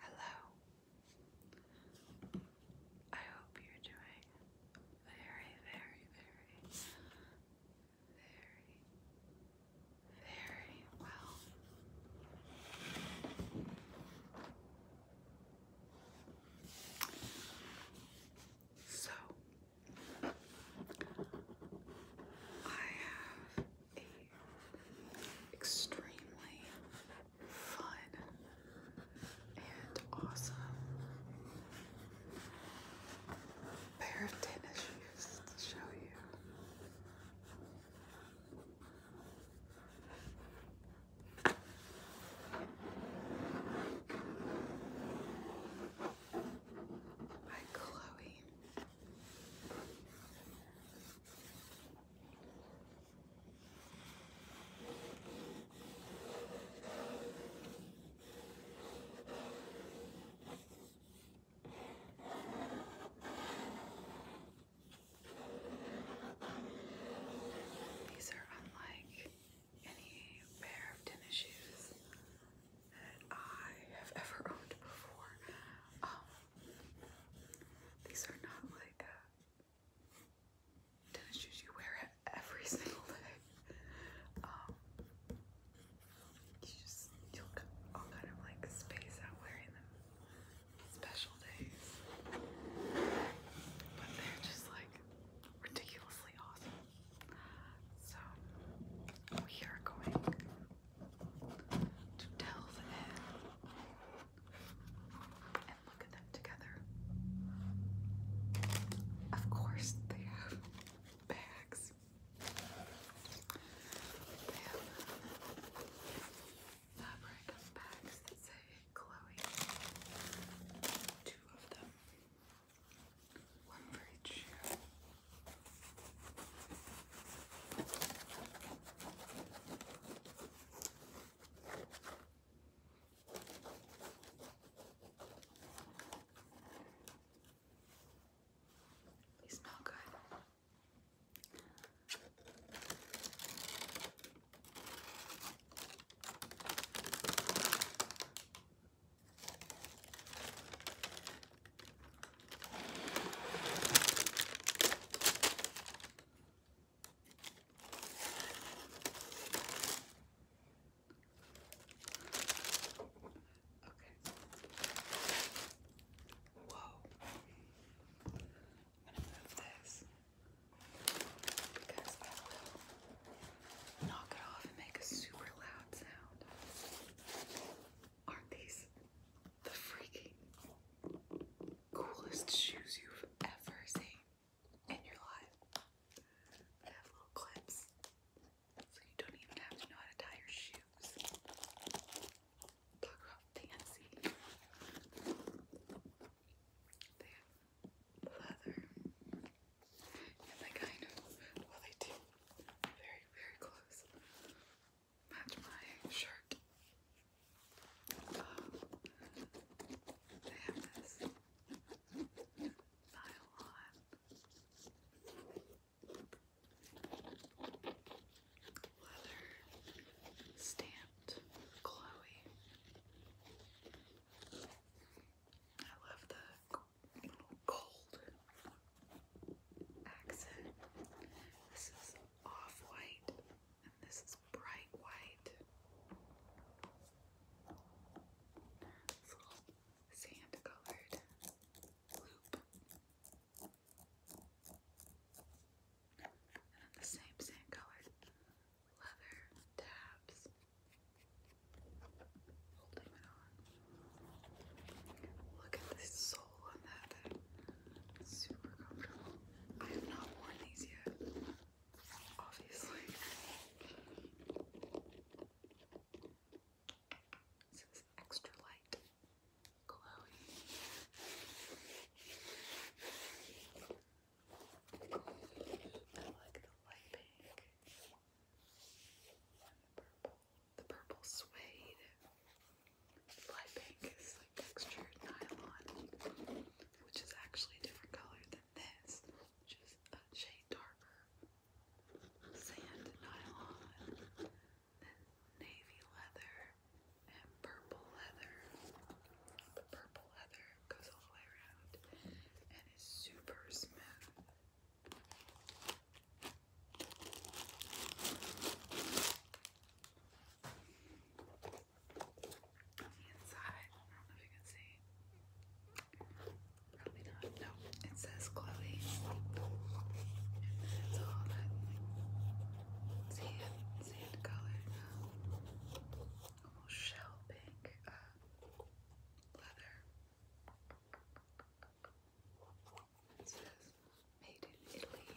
Hello. I hope you're doing very, very, very, very, very well. So, I have a extremely fun and awesome pair of tennis shoes to show you. By Chloe. These are unlike any pair of tennis shoes that I have ever owned before. Um, these are not like uh, tennis shoes you wear every single day. Um, you just you'll all kind of like space out wearing them special days, but they're just like ridiculously awesome. So we are going to delve in and look at them together. Of course, they have bags. They have fabric bags that say Chloe. Two of them. One for each they smell good. Whoa. I'm gonna move this because I will knock it off and make a super loud sound. Aren't these the freaking coolest shoes you've ever seen in your life? They have little clips, so you don't even have to know how to tie your shoes. Talk about fancy. They have leather. And they kind of, very, very close. Match my shirt. Um, nylon leather stamped Chloe. I love the gold accent. This is off white, and this is bright white. little sand colored loop. And then the same sand colored leather tabs. Look at the sole on that. super comfortable. I have not worn these yet, obviously. This extra light, glowy. I like the light pink and the purple the purple suede. Light pink is like textured nylon, which is actually a different color than this, just a shade darker. Sand nylon, then navy leather, and purple leather. The purple leather goes all the way around and is super smooth inside, I don't know if you can see. Probably not. No, it says Chloe. it's all that sand, sand color, almost shell pink uh, leather. It says made in Italy.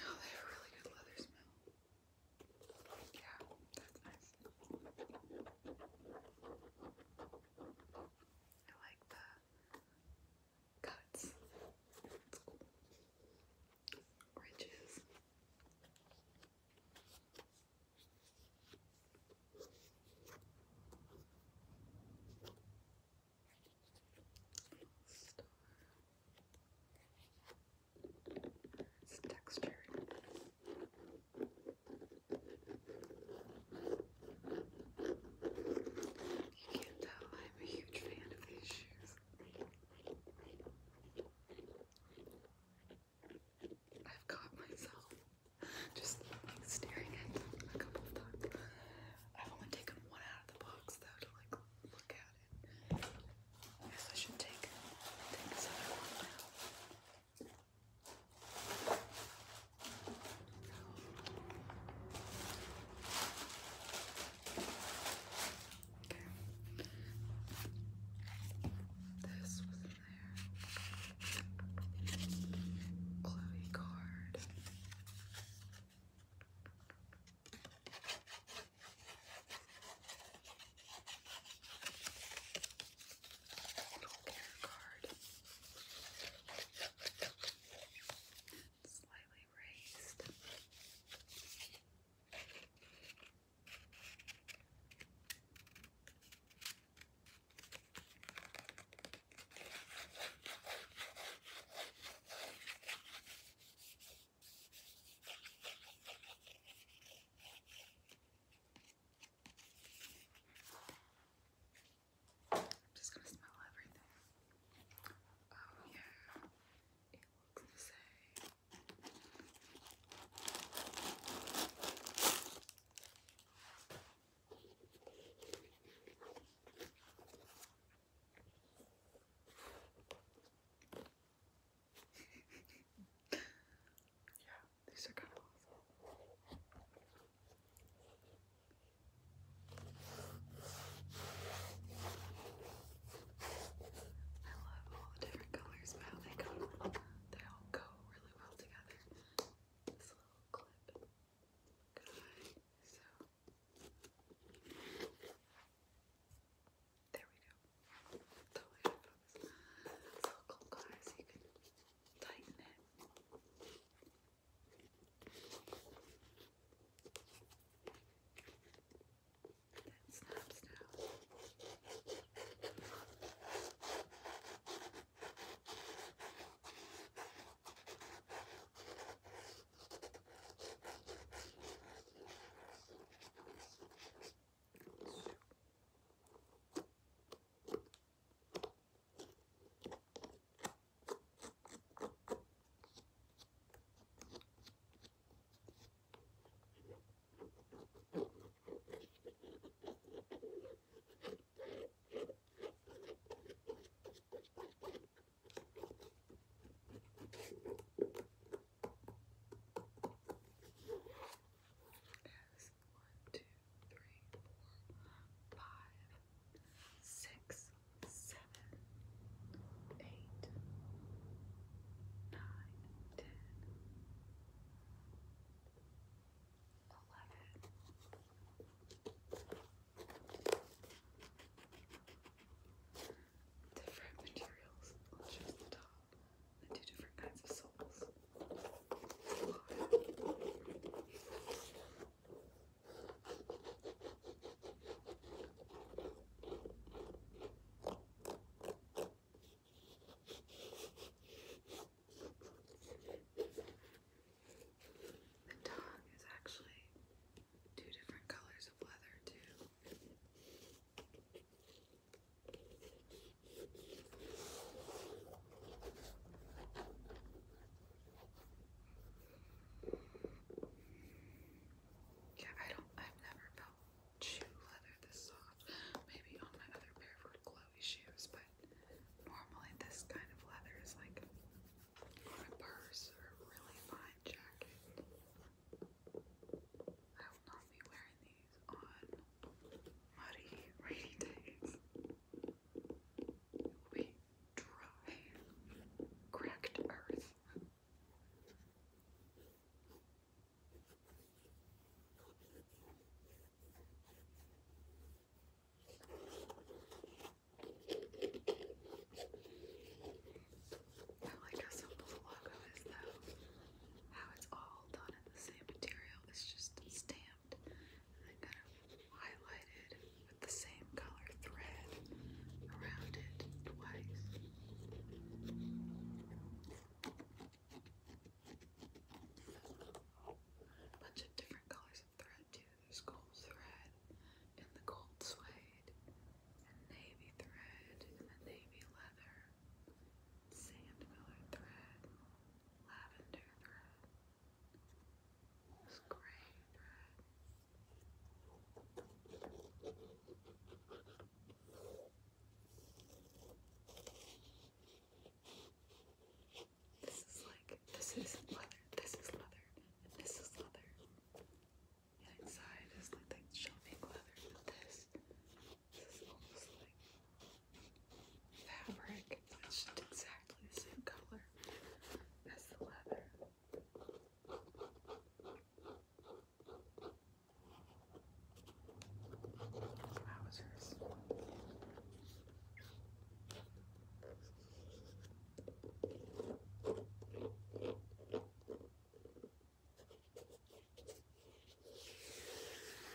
Oh, they have really good leather smell. Yeah, that's nice. I like the cuts. Ridges. Star. You can't tell I'm a huge fan of these shoes. I've caught myself just like staring at them a couple of times. I've only taken one out of the box though to like look at it. I guess I should take take this other Okay. This was there. Chloe card. Little card slightly raised. I'm just going to smell everything. Oh yeah, it looks the same. yeah, these are kind of awful. I love all the different colors how they go. They all go really well together. This little clip So there we go. Totally out of focus. This little you can tighten it. That snaps now. As one, two, three, four, five, six, seven, eight, nine, ten, eleven. Different materials on just the top. The two different kinds of soles. The tongue is actually two different colors of leather, too. Yeah, I don't, I've never felt shoe leather this soft. Maybe on my other pair were glowy shoes, but normally this kind of leather is like on a purse or a really fine jacket. I will not be wearing these on muddy, rainy days we dry, cracked earth. I like how simple the logo is, though. How it's all done in the same material. It's just stamped and I'm gonna with the same color thread around it twice. A bunch of different colors of thread too. There's gold thread and the gold suede and navy thread and the navy leather, sand colored thread, lavender thread. It's great, right? This is like this is leather, this is leather, and this is leather. And inside is like like shelving leather, but this this is almost like fabric. It's just exactly the same color as the leather. Wowzers.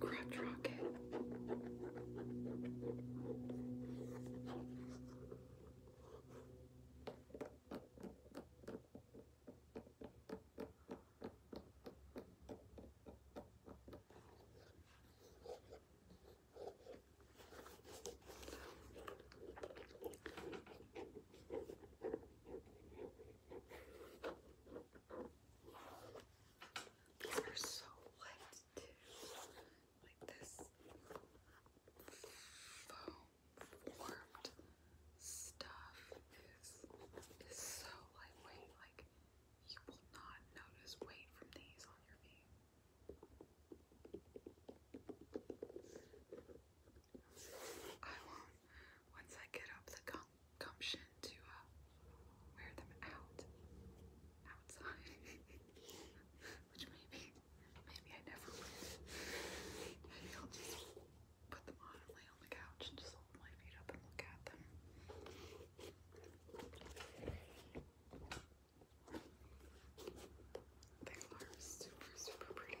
Crotch rocket. These are so light too. Like this foam stuff is is so lightweight. Like you will not notice weight from these on your feet. I won't. Once I get up the gum gumption to uh, wear them out outside, which maybe, maybe I never will. Maybe I'll just put them on and lay on the couch and just hold my feet up and look at them. They are super, super pretty.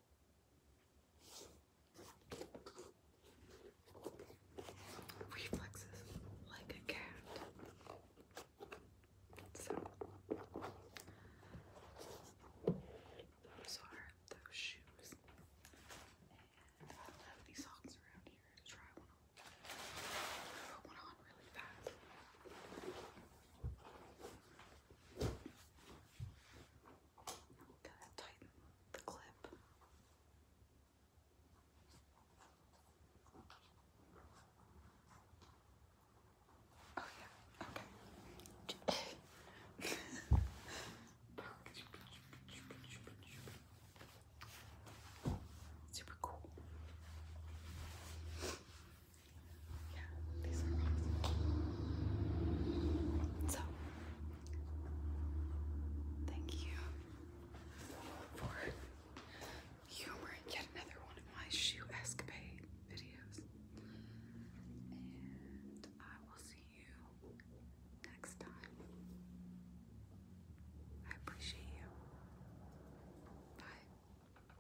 Reflexes like a cat. So, those are those shoes. And I don't socks around here to try one on. Put one on really fast. Kind of tighten the clip. Oh yeah, okay. Super cool. So, thank you for humoring yet another one of my shoe escapade videos. And I will see you next time. I appreciate you. Bye.